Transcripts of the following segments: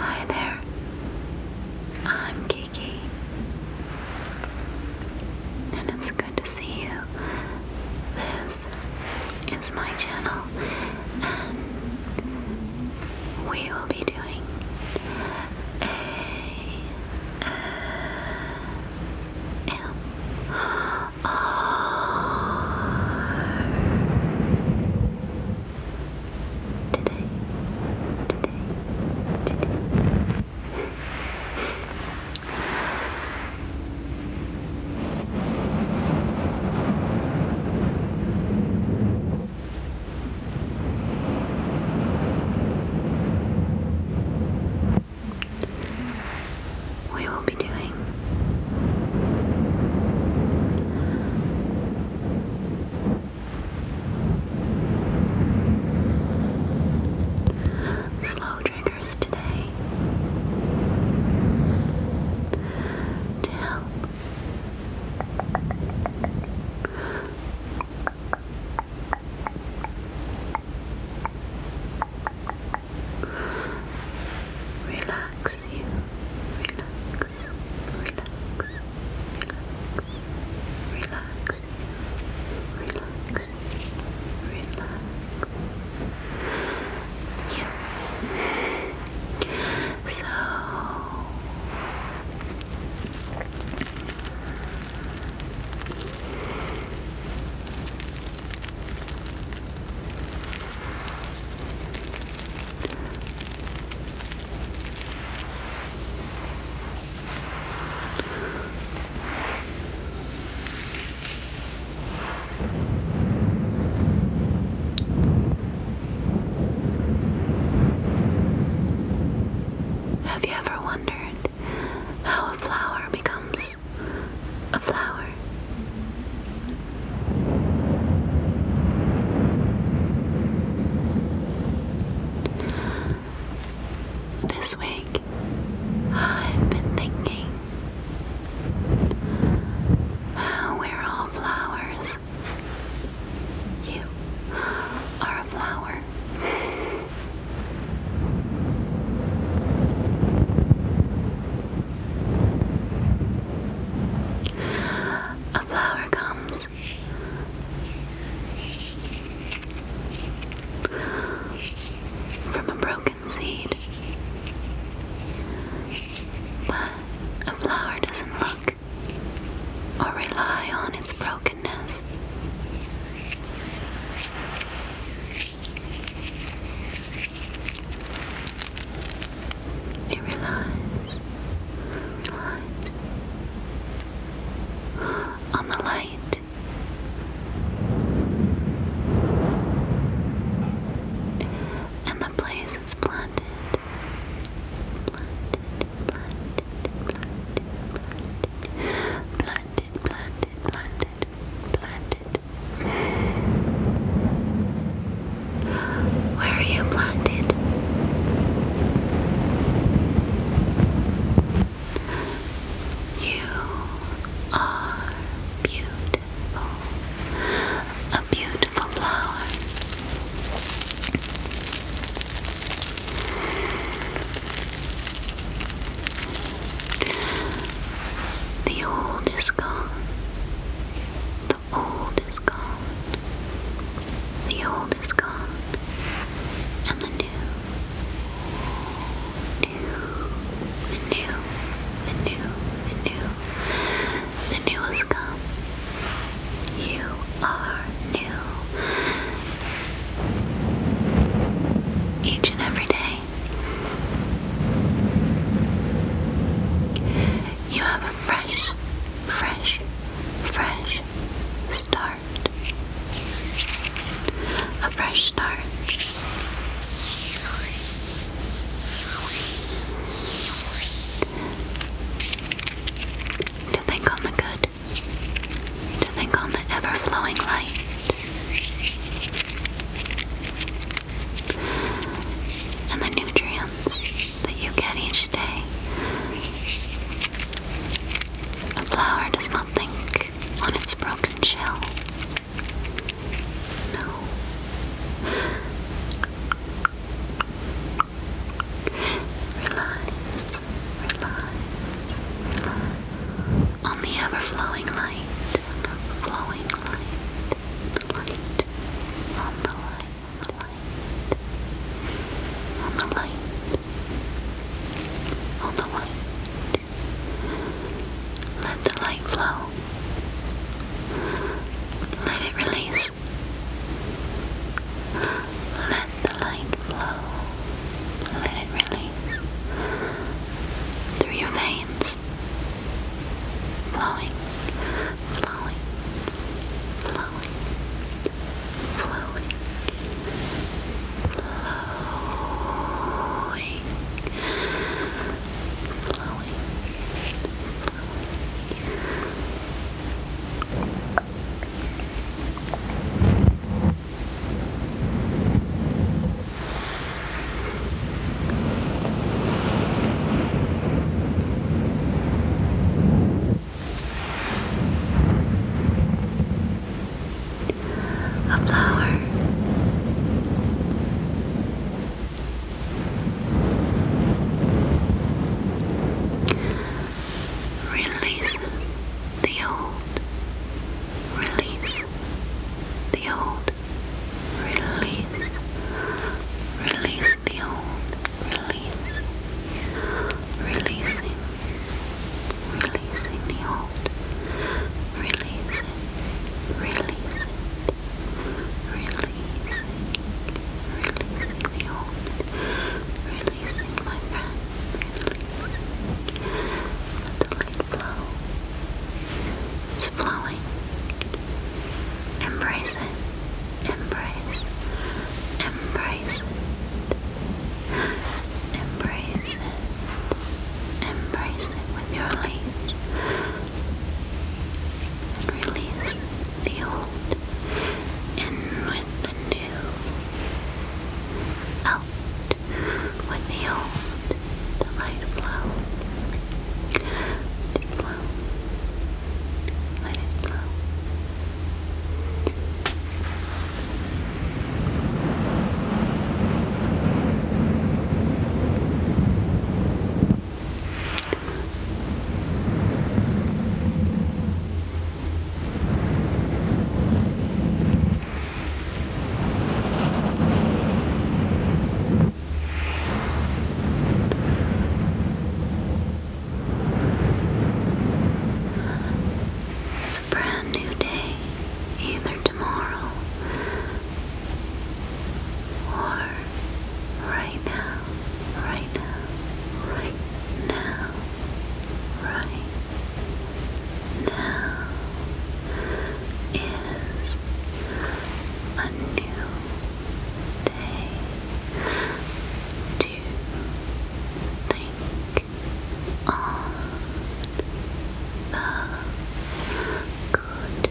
Hi there. I'm Kiki. And it's good to see you. This is my channel, and we will be doing Today, today, today. We will be doing slow triggers today to Relax you, relax, relax, relax, relax, relax, relax. Yeah. So have you ever won? wondered how a flower becomes a flower. This week, I've been thinking how we're all flowers you are a flower. A flower comes from a broken seed, but a flower doesn't look weak or rely on its brokenness. It relies on the light. And the place is planted, planted, planted planted, planted, planted, planted. Where are you planted? You are beautiful, a beautiful flower. The old is gone. The old is gone. The old is gone. And the new, new, the new, the new, the new, the new has come. You are new each and every day. You have a fresh, fresh, fresh start. A fresh start. To think on the good to think on the ever-flowing light. And the nutrients that you get each day. A flower does not think on its broken shell. No. Relax, relax, relax. On the ever light, flowing light, light, on the light, the light, on the light, on the light. Let the light flow. Let it release let the light flow. Let it release through your veins. flowing, flowing, flowing, flowing, flowing, flowing. A flower. Release the old. Release the old. Release. Release the old. Release. Releasing. Releasing the old. Releasing. Releasing. Releasing. Releasing the old. Releasing. Releasing my breath. Let the light flow. It's flowing. Embrace it. Embrace. Embrace it. Embrace it. Embrace it with your leaves. Release the old and with the new, out with the old, the light blow, it blow, let it blow. It's a brand new day, either tomorrow or right now now, right now, right now, right now is a new day to think on the good,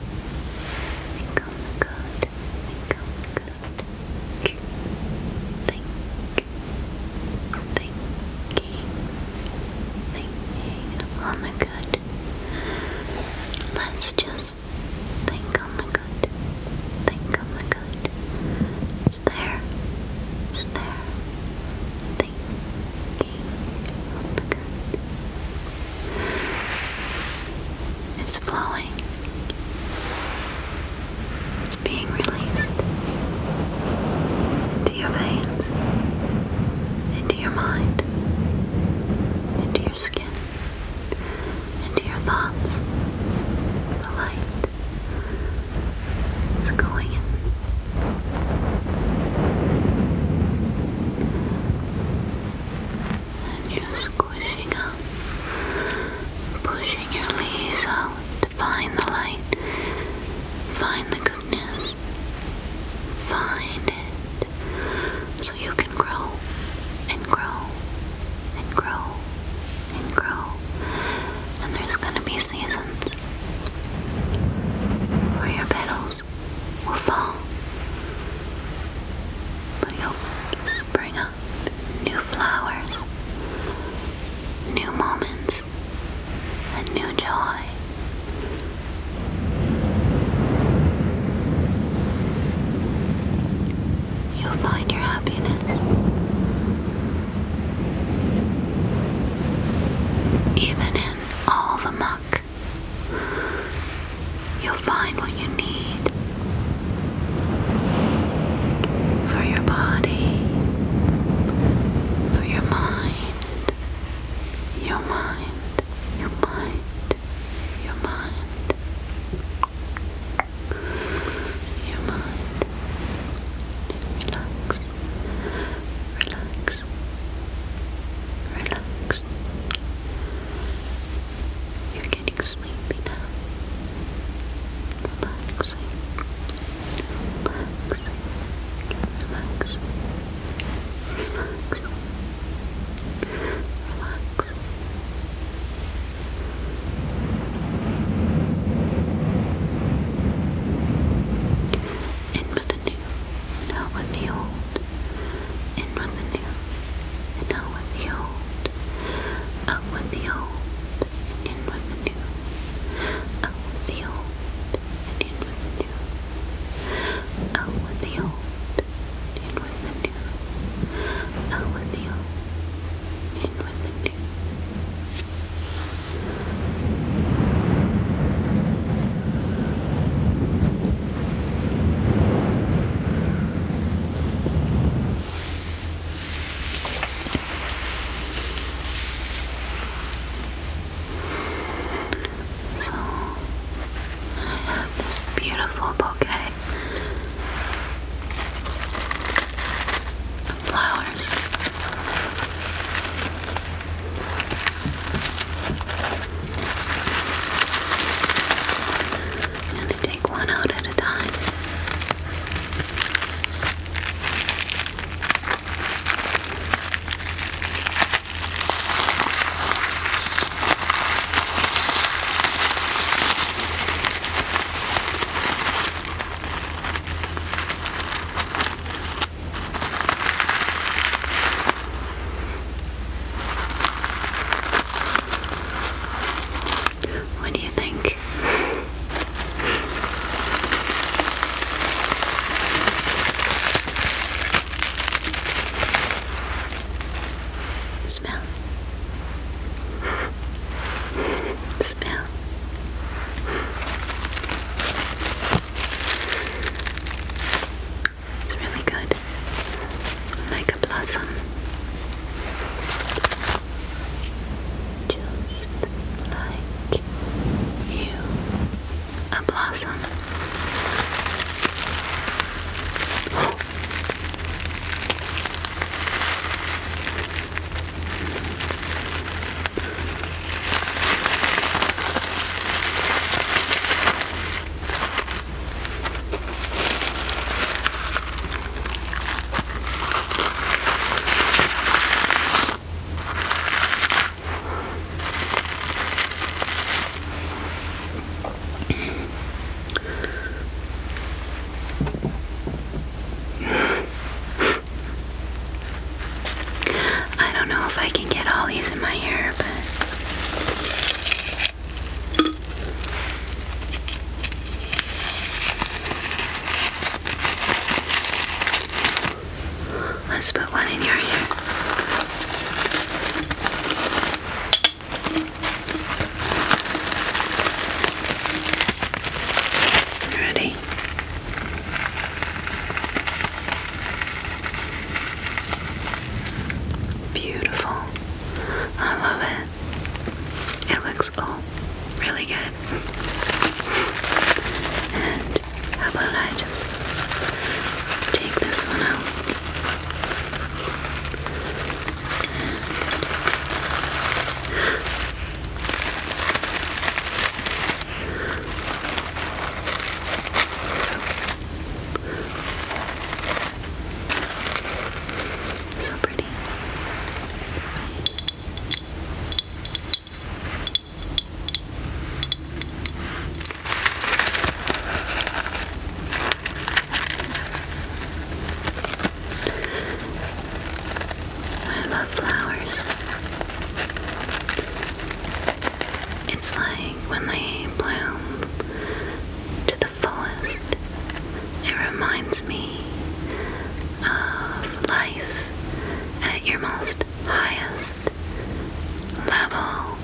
become good, become good think, thinking, thinking on the good. Let's just think on the good. Think on the good. It's there. It's there. Thinking on the good. It's it's flowing. It's being released into your veins, into your mind, into your skin, into your thoughts. The light is going in. And just pushing up, pushing your leaves out to find the light, find the goodness, find it, so you can grow and grow and grow and grow. And there's gonna be seasons where your petals will fall. But you'll spring up new flowers, new moments, and new joy. You'll find your happiness. Even in all the muck, you'll find what you need for your body, for your mind, your mind, your mind, your mind, your mind. Relax, relax, relax. You can getting sleepy now. Relaxing. Relaxing. In with the new, out with the old. In with the new, and out with the old, up with the old, in with the new, out with the old, in with the new, out with the old, in with the new, out with the old, in with the new. So I have this beautiful bouquet of flowers. And it take one out at a time. What do you think? Smell. Smell. It's really good like a blossom. Just like you, a blossom. I don't know if I can get all these in my hair, but Let's put one in your ear. ready? Beautiful. I love it. It looks cool, really good. And how about I just take this one out? I love flowers. It's like when they bloom to the it reminds me of life at your most highest level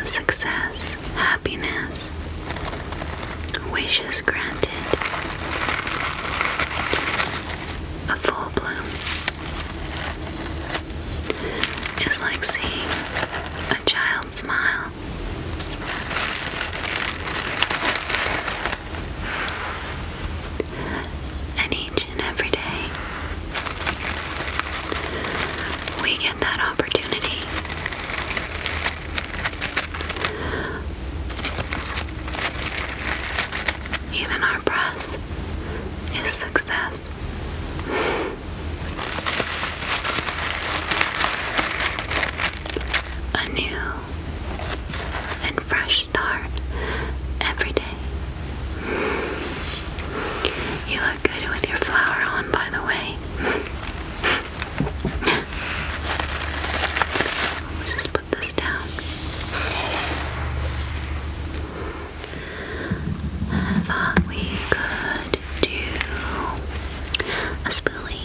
of success, happiness, wishes granted, a full bloom It's like seeing a child smile and each and every day, we get that opportunity. Even our breath is success. A new and fresh start every day. You look good with your flower on, by the way. Just put this down. I thought we could do a spoolie.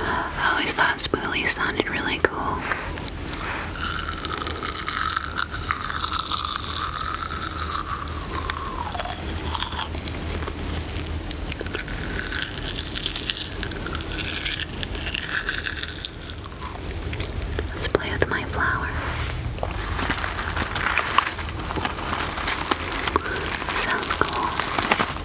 I always thought spoolie sounded really cool. Let's play with my flower. Sounds cool.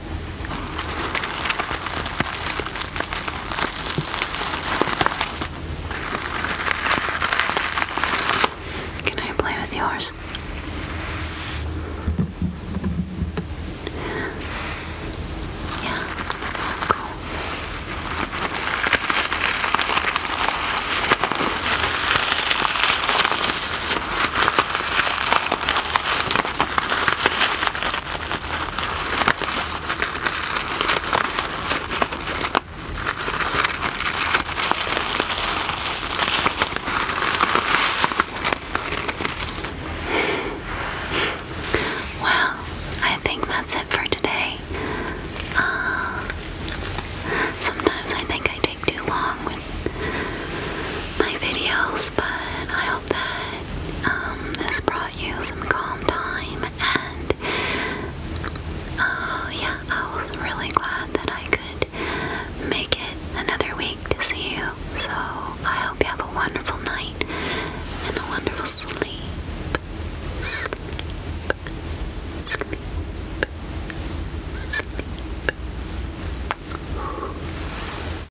Can I play with yours? Yeah, well, I think that's it for today. Uh, sometimes I think I take too long with my videos, but that um, this brought you some calm time and uh, yeah, I was really glad that I could make it another week to see you. So I hope you have a wonderful night and a wonderful sleep. Sleep. Sleep. Sleep.